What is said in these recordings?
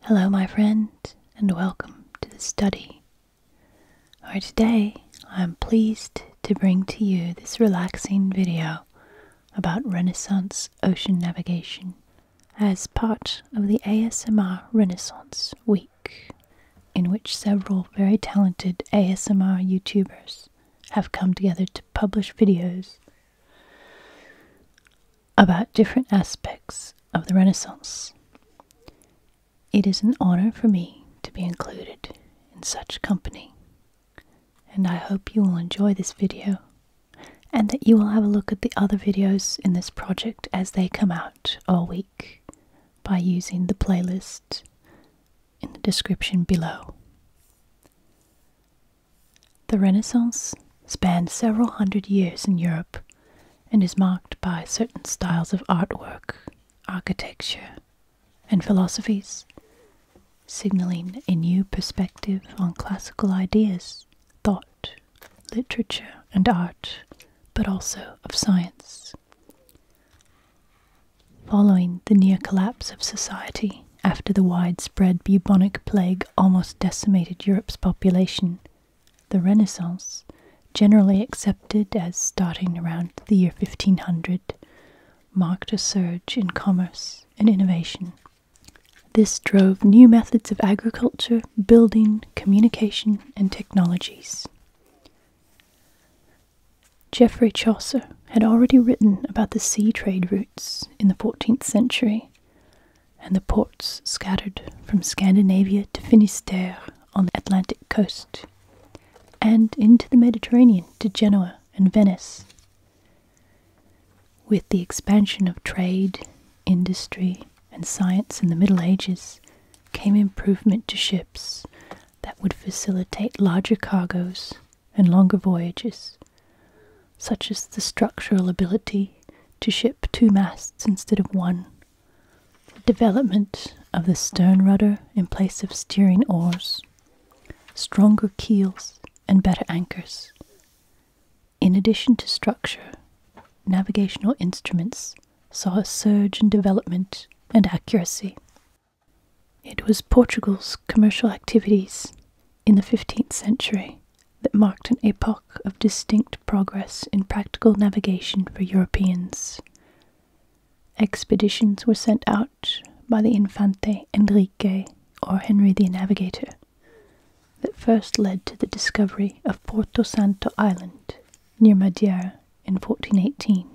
Hello, my friend, and welcome to the study. Where today I am pleased to bring to you this relaxing video about Renaissance ocean navigation as part of the ASMR Renaissance Week, in which several very talented ASMR YouTubers have come together to publish videos about different aspects of the Renaissance. It is an honor for me to be included in such company, and I hope you will enjoy this video and that you will have a look at the other videos in this project as they come out all week by using the playlist in the description below. The Renaissance spanned several hundred years in Europe and is marked by certain styles of artwork, architecture, and philosophies, signaling a new perspective on classical ideas, thought, literature, and art, but also of science. Following the near collapse of society after the widespread bubonic plague almost decimated Europe's population, the Renaissance, generally accepted as starting around the year 1500, marked a surge in commerce and innovation. This drove new methods of agriculture, building, communication, and technologies. Geoffrey Chaucer had already written about the sea trade routes in the 14th century, and the ports scattered from Scandinavia to Finisterre on the Atlantic coast, and into the Mediterranean to Genoa and Venice. With the expansion of trade, industry, and science in the Middle Ages, came improvement to ships that would facilitate larger cargoes and longer voyages such as the structural ability to ship two masts instead of one, the development of the stern rudder in place of steering oars, stronger keels, and better anchors. In addition to structure, navigational instruments saw a surge in development and accuracy. It was Portugal's commercial activities in the 15th century that marked an epoch of distinct progress in practical navigation for Europeans. Expeditions were sent out by the Infante Enrique or Henry the Navigator that first led to the discovery of Porto Santo Island near Madeira in 1418,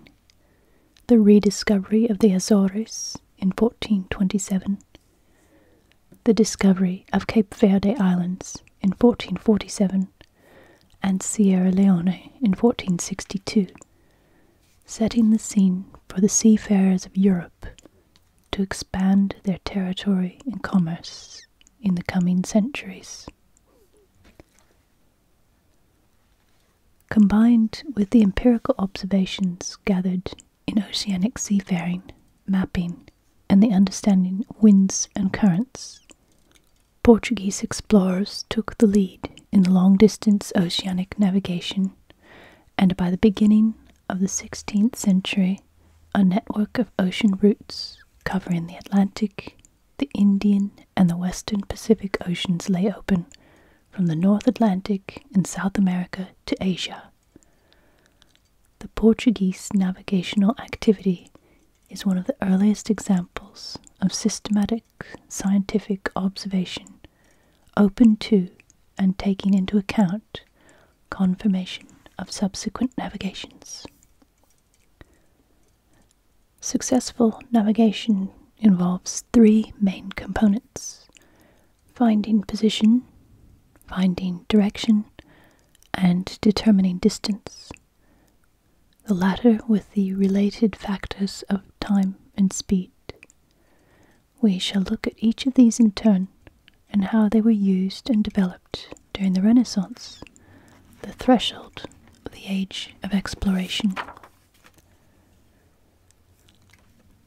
the rediscovery of the Azores in 1427, the discovery of Cape Verde Islands in 1447 and Sierra Leone in 1462, setting the scene for the seafarers of Europe to expand their territory and commerce in the coming centuries. Combined with the empirical observations gathered in oceanic seafaring, mapping, and the understanding winds and currents. Portuguese explorers took the lead in long distance oceanic navigation, and by the beginning of the 16th century, a network of ocean routes covering the Atlantic, the Indian, and the Western Pacific Oceans lay open from the North Atlantic and South America to Asia. The Portuguese navigational activity is one of the earliest examples of systematic scientific observation open to and taking into account confirmation of subsequent navigations. Successful navigation involves three main components finding position, finding direction, and determining distance, the latter with the related factors of time and speed. We shall look at each of these in turn and how they were used and developed during the Renaissance, the threshold of the age of exploration.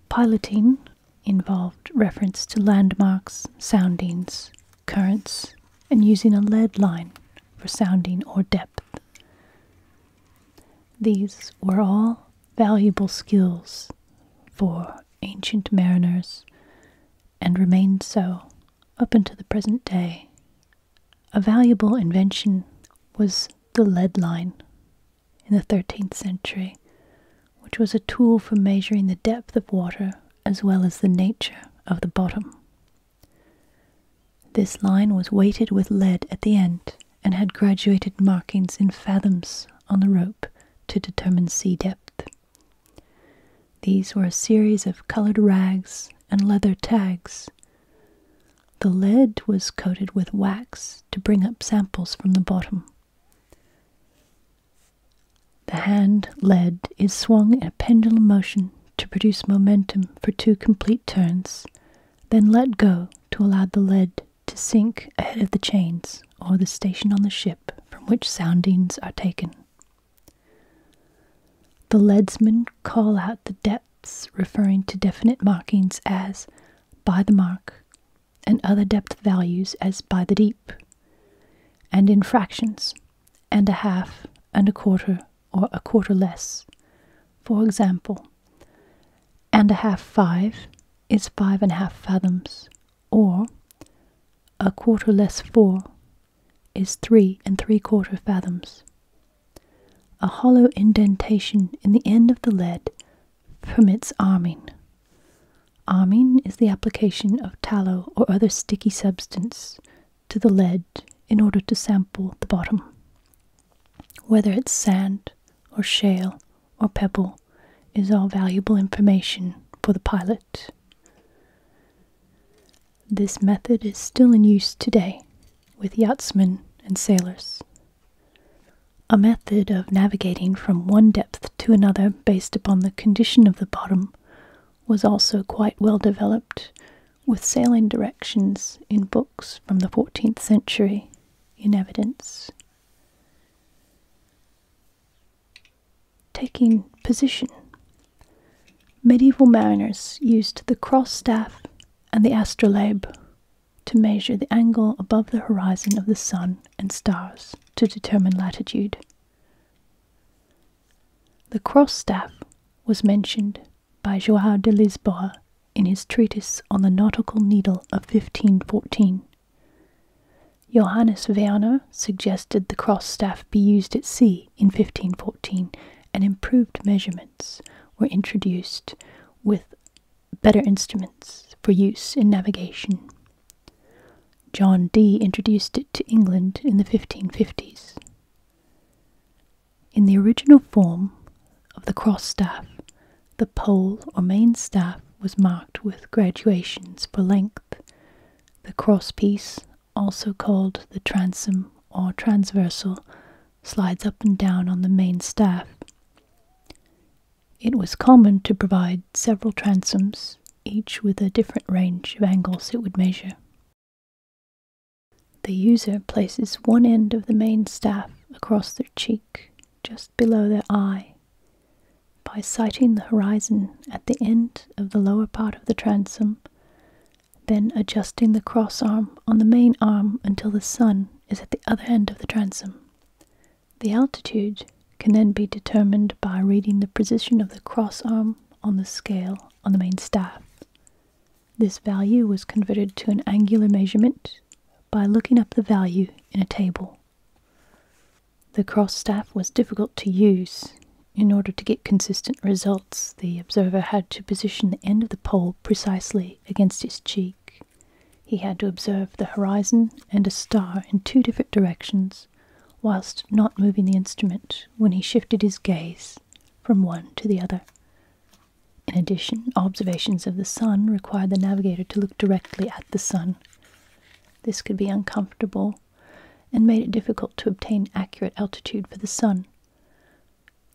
Piloting involved reference to landmarks, soundings, currents, and using a lead line for sounding or depth. These were all valuable skills for ancient mariners and remained so up until the present day. A valuable invention was the lead line, in the 13th century, which was a tool for measuring the depth of water as well as the nature of the bottom. This line was weighted with lead at the end and had graduated markings in fathoms on the rope to determine sea depth. These were a series of colored rags and leather tags. The lead was coated with wax to bring up samples from the bottom. The hand lead is swung in a pendulum motion to produce momentum for two complete turns, then let go to allow the lead to sink ahead of the chains or the station on the ship from which soundings are taken. The leadsmen call out the depths, referring to definite markings as by the mark and other depth values as by the deep, and in fractions, and a half, and a quarter, or a quarter less. For example, and a half five is five and a half fathoms, or a quarter less four is three and three quarter fathoms. A hollow indentation in the end of the lead permits arming Arming is the application of tallow or other sticky substance to the lead in order to sample the bottom. Whether it's sand or shale or pebble is all valuable information for the pilot. This method is still in use today with yachtsmen and sailors. A method of navigating from one depth to another based upon the condition of the bottom was also quite well developed, with sailing directions in books from the 14th century in evidence. Taking position. Medieval mariners used the cross staff and the astrolabe to measure the angle above the horizon of the sun and stars to determine latitude. The cross staff was mentioned by Joao de Lisboa in his treatise on the nautical needle of 1514. Johannes Werner suggested the cross staff be used at sea in 1514 and improved measurements were introduced with better instruments for use in navigation. John Dee introduced it to England in the 1550s. In the original form of the cross staff, the pole or main staff was marked with graduations for length. The cross piece, also called the transom or transversal, slides up and down on the main staff. It was common to provide several transoms, each with a different range of angles it would measure. The user places one end of the main staff across their cheek, just below their eye, by sighting the horizon at the end of the lower part of the transom, then adjusting the cross arm on the main arm until the sun is at the other end of the transom. The altitude can then be determined by reading the position of the cross arm on the scale on the main staff. This value was converted to an angular measurement by looking up the value in a table. The cross staff was difficult to use. In order to get consistent results, the observer had to position the end of the pole precisely against his cheek. He had to observe the horizon and a star in two different directions, whilst not moving the instrument when he shifted his gaze from one to the other. In addition, observations of the sun required the navigator to look directly at the sun. This could be uncomfortable and made it difficult to obtain accurate altitude for the sun.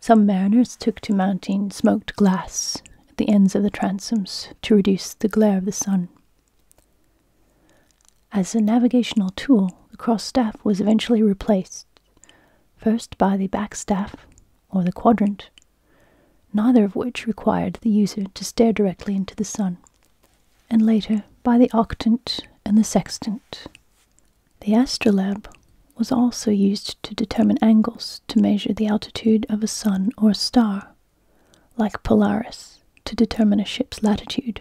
Some mariners took to mounting smoked glass at the ends of the transoms to reduce the glare of the sun. As a navigational tool, the cross staff was eventually replaced, first by the back staff or the quadrant, neither of which required the user to stare directly into the sun, and later by the octant and the sextant. The astrolabe was also used to determine angles to measure the altitude of a sun or star, like Polaris to determine a ship's latitude,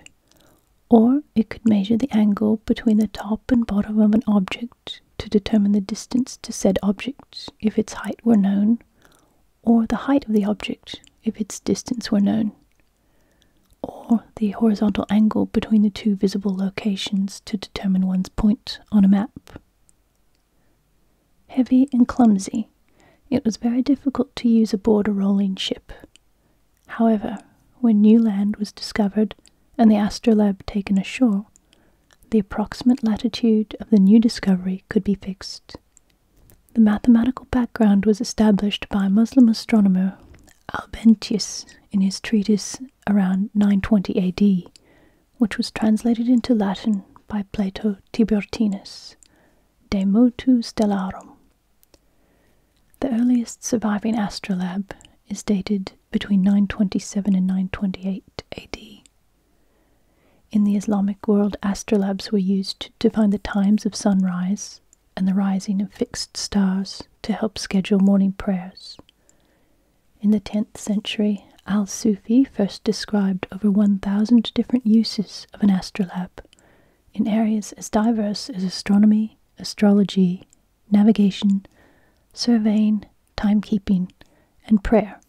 or it could measure the angle between the top and bottom of an object to determine the distance to said object if its height were known, or the height of the object if its distance were known, or the horizontal angle between the two visible locations to determine one's point on a map. Heavy and clumsy, it was very difficult to use aboard a rolling ship. However, when new land was discovered and the astrolabe taken ashore, the approximate latitude of the new discovery could be fixed. The mathematical background was established by Muslim astronomer al Albentius in his treatise around 920 AD, which was translated into Latin by Plato Tiburtinus, De Motu Stellarum. The earliest surviving astrolabe is dated between 927 and 928 AD. In the Islamic world, astrolabes were used to find the times of sunrise and the rising of fixed stars to help schedule morning prayers. In the 10th century, Al Sufi first described over 1,000 different uses of an astrolabe in areas as diverse as astronomy, astrology, navigation, surveying, timekeeping, and prayer.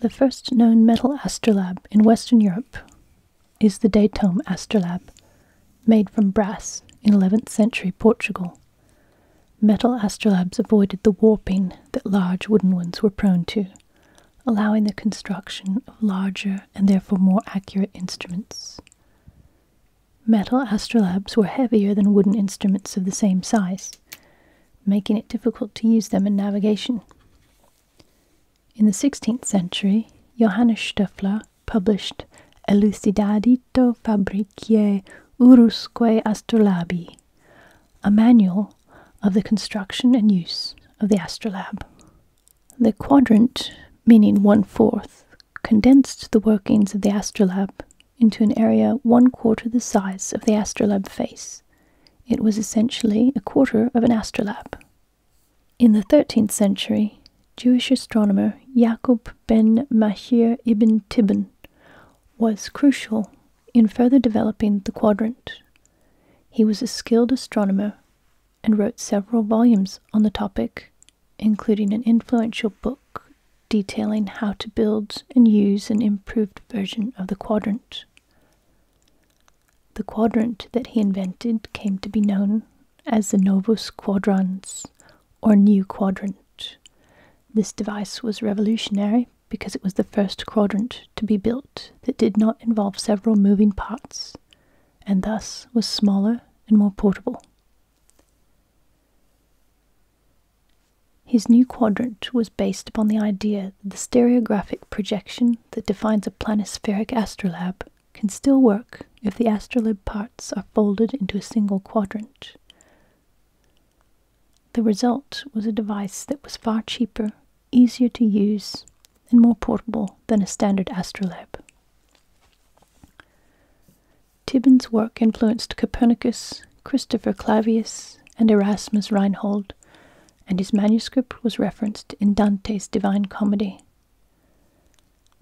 The first known metal astrolabe in Western Europe is the Datum astrolabe, made from brass in 11th century Portugal. Metal astrolabes avoided the warping that large wooden ones were prone to, allowing the construction of larger and therefore more accurate instruments. Metal astrolabes were heavier than wooden instruments of the same size, making it difficult to use them in navigation. In the 16th century, Johannes Stöffler published Elucidadito Fabriciae Urusque Astrolabi, a manual of the construction and use of the astrolabe. The quadrant, meaning one fourth, condensed the workings of the astrolabe into an area one quarter the size of the astrolabe face. It was essentially a quarter of an astrolabe. In the 13th century, Jewish astronomer Yaqub ben Mashir ibn Tibbon was crucial in further developing the quadrant. He was a skilled astronomer and wrote several volumes on the topic, including an influential book detailing how to build and use an improved version of the quadrant. The quadrant that he invented came to be known as the Novus Quadrans, or new quadrant. This device was revolutionary because it was the first quadrant to be built that did not involve several moving parts, and thus was smaller and more portable. His new quadrant was based upon the idea that the stereographic projection that defines a planispheric astrolabe can still work if the astrolabe parts are folded into a single quadrant. The result was a device that was far cheaper, easier to use, and more portable than a standard astrolabe. Tibon's work influenced Copernicus, Christopher Clavius, and Erasmus Reinhold, and his manuscript was referenced in Dante's Divine Comedy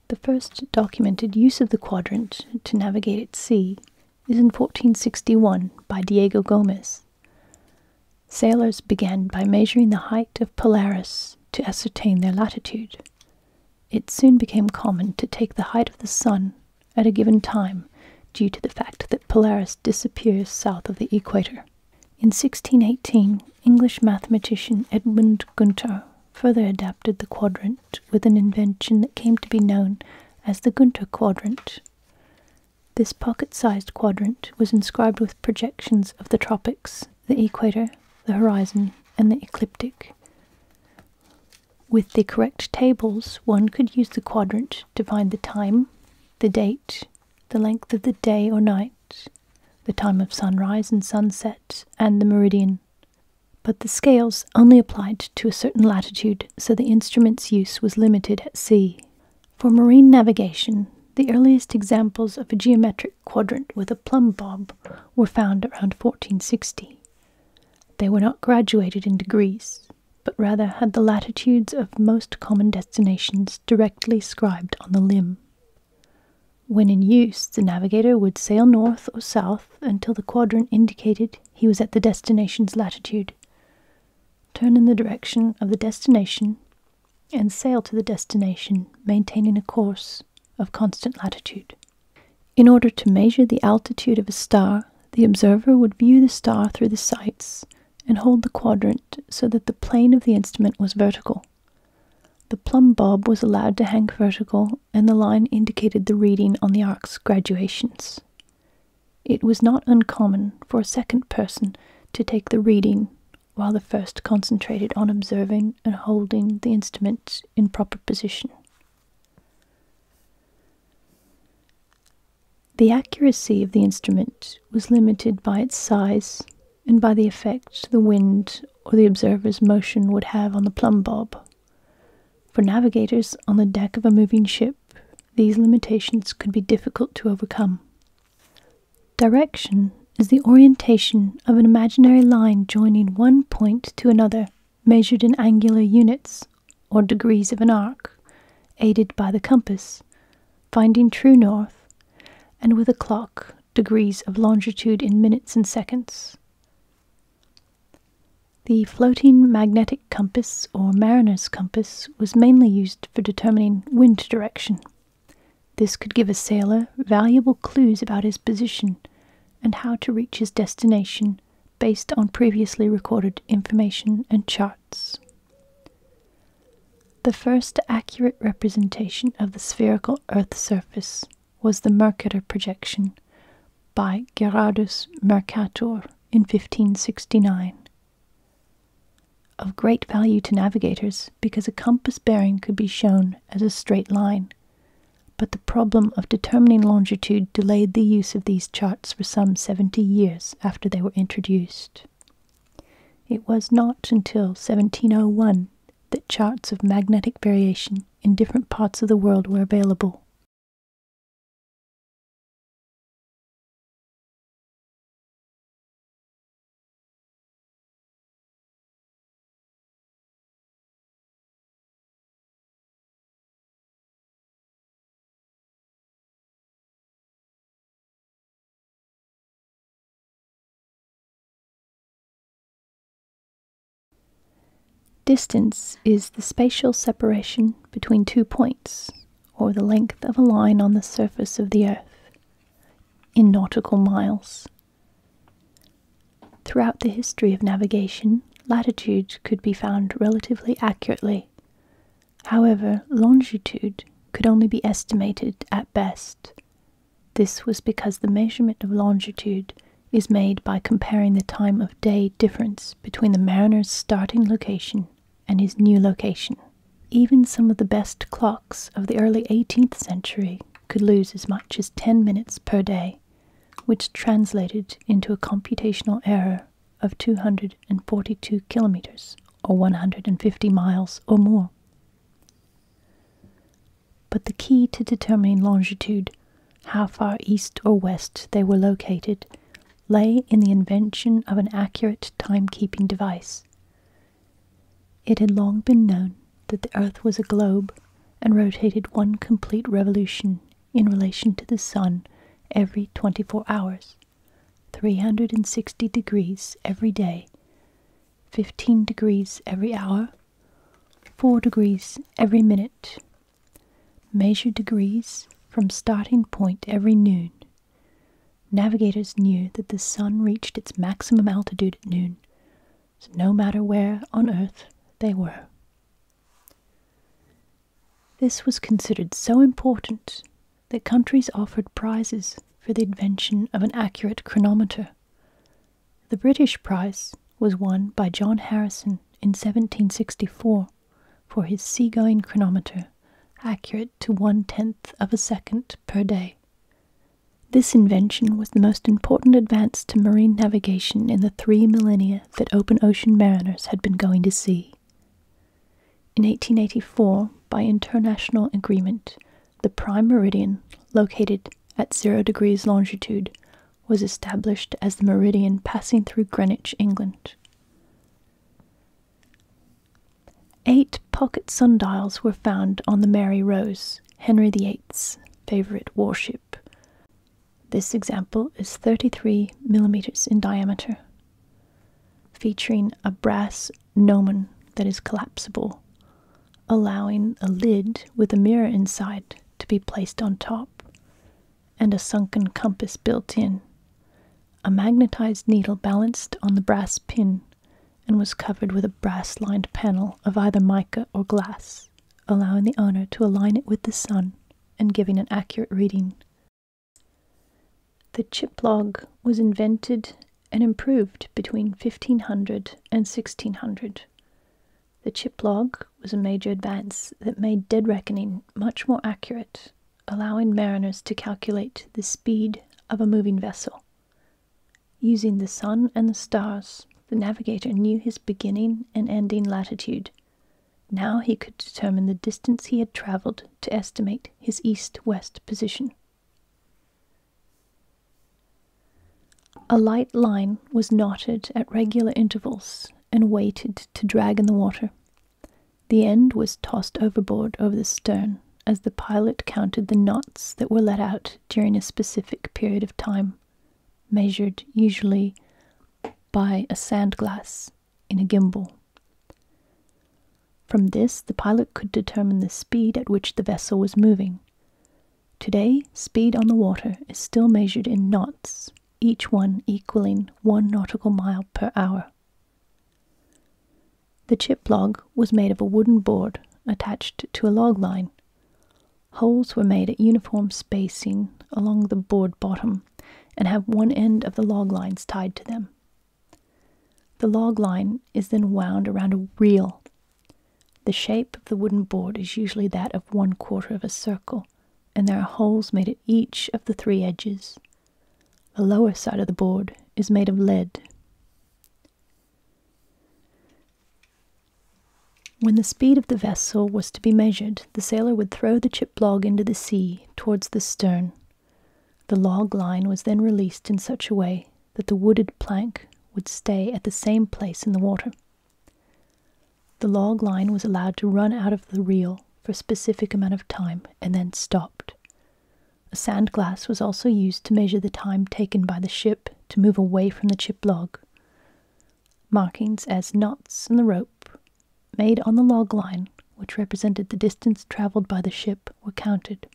the first documented use of the quadrant to navigate at sea is in 1461 by Diego Gomez. Sailors began by measuring the height of Polaris to ascertain their latitude. It soon became common to take the height of the sun at a given time due to the fact that Polaris disappears south of the equator. In 1618, English mathematician Edmund Gunter further adapted the quadrant with an invention that came to be known as the Gunter quadrant. This pocket sized quadrant was inscribed with projections of the tropics, the equator, the horizon, and the ecliptic. With the correct tables, one could use the quadrant to find the time, the date, the length of the day or night, the time of sunrise and sunset, and the meridian. But the scales only applied to a certain latitude, so the instrument's use was limited at sea. For marine navigation, the earliest examples of a geometric quadrant with a plumb bob were found around 1460. They were not graduated in degrees, but rather had the latitudes of most common destinations directly scribed on the limb. When in use, the navigator would sail north or south until the quadrant indicated he was at the destination's latitude. Turn in the direction of the destination and sail to the destination, maintaining a course of constant latitude. In order to measure the altitude of a star, the observer would view the star through the sights and hold the quadrant so that the plane of the instrument was vertical. The plumb bob was allowed to hang vertical, and the line indicated the reading on the arc's graduations. It was not uncommon for a second person to take the reading while the first concentrated on observing and holding the instrument in proper position. The accuracy of the instrument was limited by its size and by the effect the wind or the observer's motion would have on the plumb bob. For navigators on the deck of a moving ship, these limitations could be difficult to overcome. Direction is the orientation of an imaginary line joining one point to another, measured in angular units, or degrees of an arc, aided by the compass, finding true north, and with a clock degrees of longitude in minutes and seconds. The floating magnetic compass, or mariner's compass, was mainly used for determining wind direction. This could give a sailor valuable clues about his position and how to reach his destination based on previously recorded information and charts. The first accurate representation of the spherical Earth's surface was the Mercator projection by Gerardus Mercator in 1569. Of great value to navigators because a compass bearing could be shown as a straight line, but the problem of determining longitude delayed the use of these charts for some 70 years after they were introduced. It was not until 1701 that charts of magnetic variation in different parts of the world were available. Distance is the spatial separation between two points, or the length of a line on the surface of the Earth, in nautical miles. Throughout the history of navigation, latitude could be found relatively accurately. However, longitude could only be estimated at best. This was because the measurement of longitude is made by comparing the time of day difference between the mariner's starting location and his new location. Even some of the best clocks of the early 18th century could lose as much as 10 minutes per day, which translated into a computational error of 242 kilometers or 150 miles or more. But the key to determining longitude, how far east or west they were located, lay in the invention of an accurate timekeeping device. It had long been known that the Earth was a globe and rotated one complete revolution in relation to the Sun every 24 hours, 360 degrees every day, 15 degrees every hour, 4 degrees every minute. Measure degrees from starting point every noon. Navigators knew that the sun reached its maximum altitude at noon, so no matter where on Earth they were. This was considered so important that countries offered prizes for the invention of an accurate chronometer. The British prize was won by John Harrison in 1764 for his sea-going chronometer, accurate to one tenth of a second per day. This invention was the most important advance to marine navigation in the three millennia that open ocean mariners had been going to sea. In 1884, by international agreement, the prime meridian, located at zero degrees longitude, was established as the meridian passing through Greenwich, England. Eight pocket sundials were found on the Mary Rose, Henry VIII's favourite warship. This example is 33 millimeters in diameter, featuring a brass gnomon that is collapsible, allowing a lid with a mirror inside to be placed on top, and a sunken compass built in. A magnetized needle balanced on the brass pin and was covered with a brass lined panel of either mica or glass, allowing the owner to align it with the sun and giving an accurate reading. The chip log was invented and improved between fifteen hundred and sixteen hundred, The chip log was a major advance that made dead reckoning much more accurate, allowing mariners to calculate the speed of a moving vessel. Using the sun and the stars, the navigator knew his beginning and ending latitude. Now he could determine the distance he had traveled to estimate his east west position. A light line was knotted at regular intervals and weighted to drag in the water. The end was tossed overboard over the stern as the pilot counted the knots that were let out during a specific period of time, measured usually by a sandglass in a gimbal. From this, the pilot could determine the speed at which the vessel was moving. Today, speed on the water is still measured in knots, each one equalling one nautical mile per hour. The chip log was made of a wooden board attached to a log line. Holes were made at uniform spacing along the board bottom and have one end of the log lines tied to them. The log line is then wound around a reel. The shape of the wooden board is usually that of one quarter of a circle, and there are holes made at each of the three edges. The lower side of the board is made of lead. When the speed of the vessel was to be measured, the sailor would throw the chip log into the sea towards the stern, the log line was then released in such a way that the wooded plank would stay at the same place in the water. The log line was allowed to run out of the reel for a specific amount of time and then stopped. A sand glass was also used to measure the time taken by the ship to move away from the chip log. Markings as knots in the rope made on the log line, which represented the distance travelled by the ship, were counted.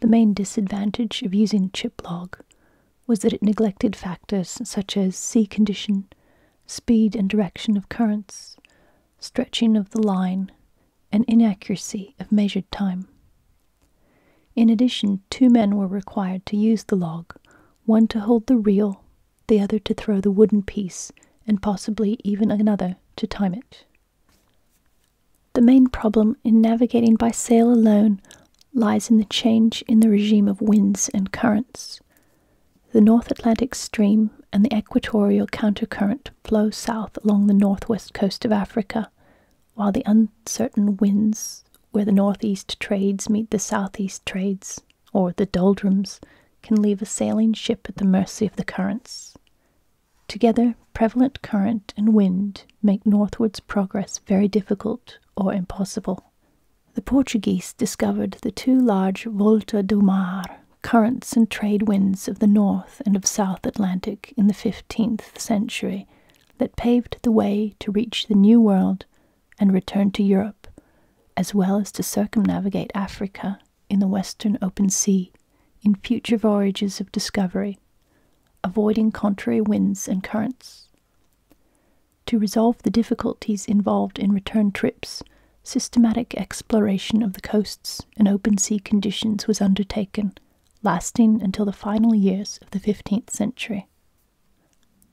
The main disadvantage of using a chip log was that it neglected factors such as sea condition, speed and direction of currents, stretching of the line, and inaccuracy of measured time. In addition, two men were required to use the log, one to hold the reel, the other to throw the wooden piece, and possibly even another to time it. The main problem in navigating by sail alone lies in the change in the regime of winds and currents. The North Atlantic Stream and the equatorial countercurrent flow south along the northwest coast of Africa, while the uncertain winds where the northeast trades meet the southeast trades, or the doldrums, can leave a sailing ship at the mercy of the currents. Together, prevalent current and wind make northwards progress very difficult or impossible. The Portuguese discovered the two large volta do mar currents and trade winds of the North and of South Atlantic in the 15th century that paved the way to reach the New World and return to Europe, as well as to circumnavigate Africa in the western open sea in future voyages of discovery, avoiding contrary winds and currents. To resolve the difficulties involved in return trips, systematic exploration of the coasts and open sea conditions was undertaken, lasting until the final years of the 15th century.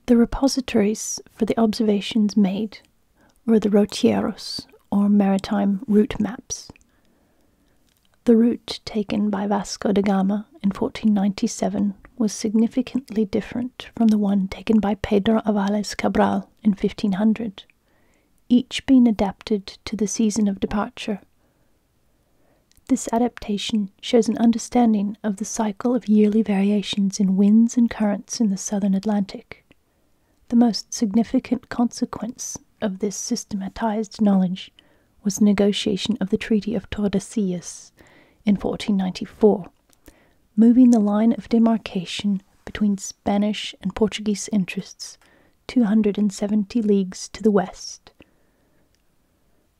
The repositories for the observations made were the rotieros, or maritime route maps. The route taken by Vasco da Gama in 1497 was significantly different from the one taken by Pedro Avales Cabral in 1500, each being adapted to the season of departure. This adaptation shows an understanding of the cycle of yearly variations in winds and currents in the southern Atlantic, the most significant consequence of this systematized knowledge was the negotiation of the Treaty of Tordesillas in 1494, moving the line of demarcation between Spanish and Portuguese interests 270 leagues to the west,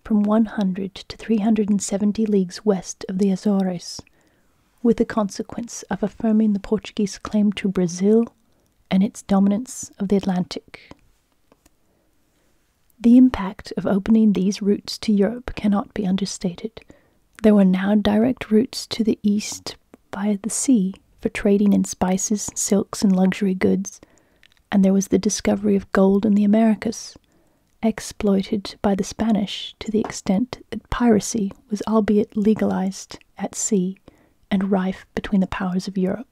from 100 to 370 leagues west of the Azores, with the consequence of affirming the Portuguese claim to Brazil and its dominance of the Atlantic. The impact of opening these routes to Europe cannot be understated. There were now direct routes to the east by the sea for trading in spices, silks, and luxury goods, and there was the discovery of gold in the Americas, exploited by the Spanish to the extent that piracy was albeit legalized at sea and rife between the powers of Europe.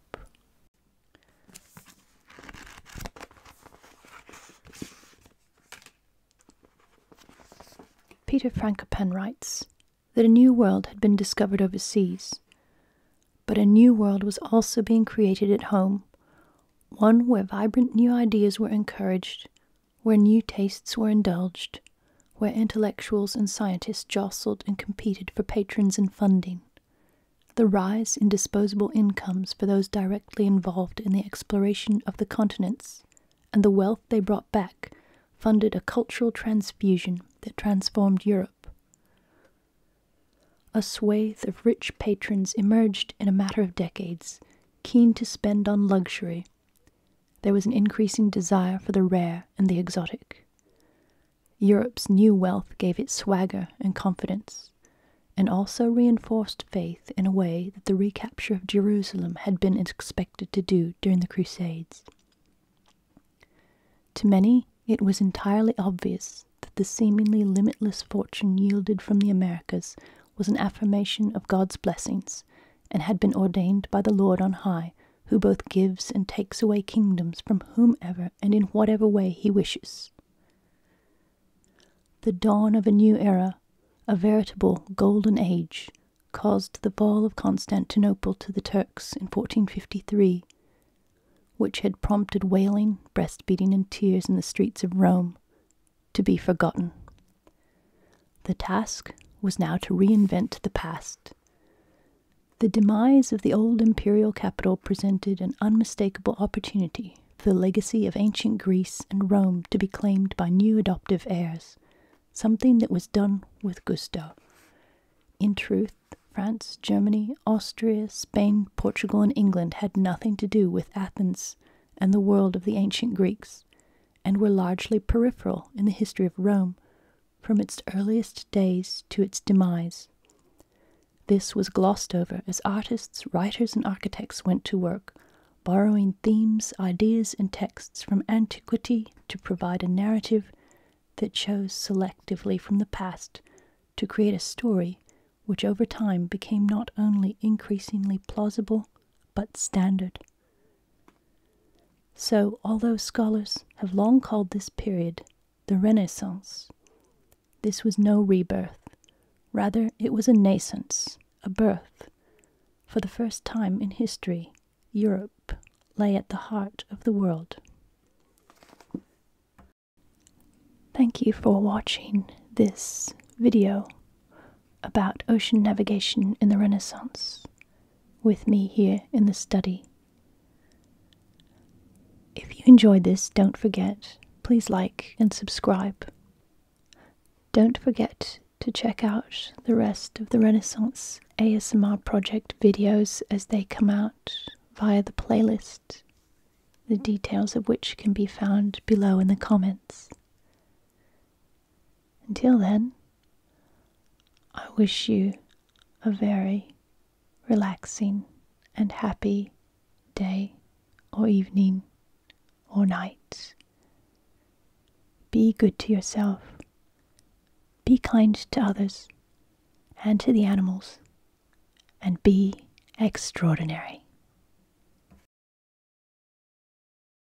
Peter Frankopan writes that a new world had been discovered overseas, but a new world was also being created at home, one where vibrant new ideas were encouraged, where new tastes were indulged, where intellectuals and scientists jostled and competed for patrons and funding, the rise in disposable incomes for those directly involved in the exploration of the continents, and the wealth they brought back funded a cultural transfusion that transformed Europe. A swathe of rich patrons emerged in a matter of decades, keen to spend on luxury there was an increasing desire for the rare and the exotic. Europe's new wealth gave it swagger and confidence, and also reinforced faith in a way that the recapture of Jerusalem had been expected to do during the Crusades. To many, it was entirely obvious that the seemingly limitless fortune yielded from the Americas was an affirmation of God's blessings and had been ordained by the Lord on high, who both gives and takes away kingdoms from whomever and in whatever way he wishes. The dawn of a new era, a veritable golden age, caused the fall of Constantinople to the Turks in 1453, which had prompted wailing, breast beating, and tears in the streets of Rome, to be forgotten. The task was now to reinvent the past. The demise of the old imperial capital presented an unmistakable opportunity for the legacy of ancient Greece and Rome to be claimed by new adoptive heirs, something that was done with gusto. In truth, France, Germany, Austria, Spain, Portugal, and England had nothing to do with Athens and the world of the ancient Greeks and were largely peripheral in the history of Rome from its earliest days to its demise. This was glossed over as artists, writers, and architects went to work, borrowing themes, ideas, and texts from antiquity to provide a narrative that chose selectively from the past to create a story which over time became not only increasingly plausible but standard. So, although scholars have long called this period the Renaissance, this was no rebirth. Rather, it was a nascence, a birth. For the first time in history, Europe lay at the heart of the world. Thank you for watching this video about ocean navigation in the Renaissance with me here in the study. If you enjoyed this, don't forget, please like and subscribe. Don't forget to check out the rest of the Renaissance ASMR Project videos as they come out via the playlist, the details of which can be found below in the comments. Until then, I wish you a very relaxing and happy day or evening or night. Be good to yourself. Be kind to others and to the animals. And be extraordinary.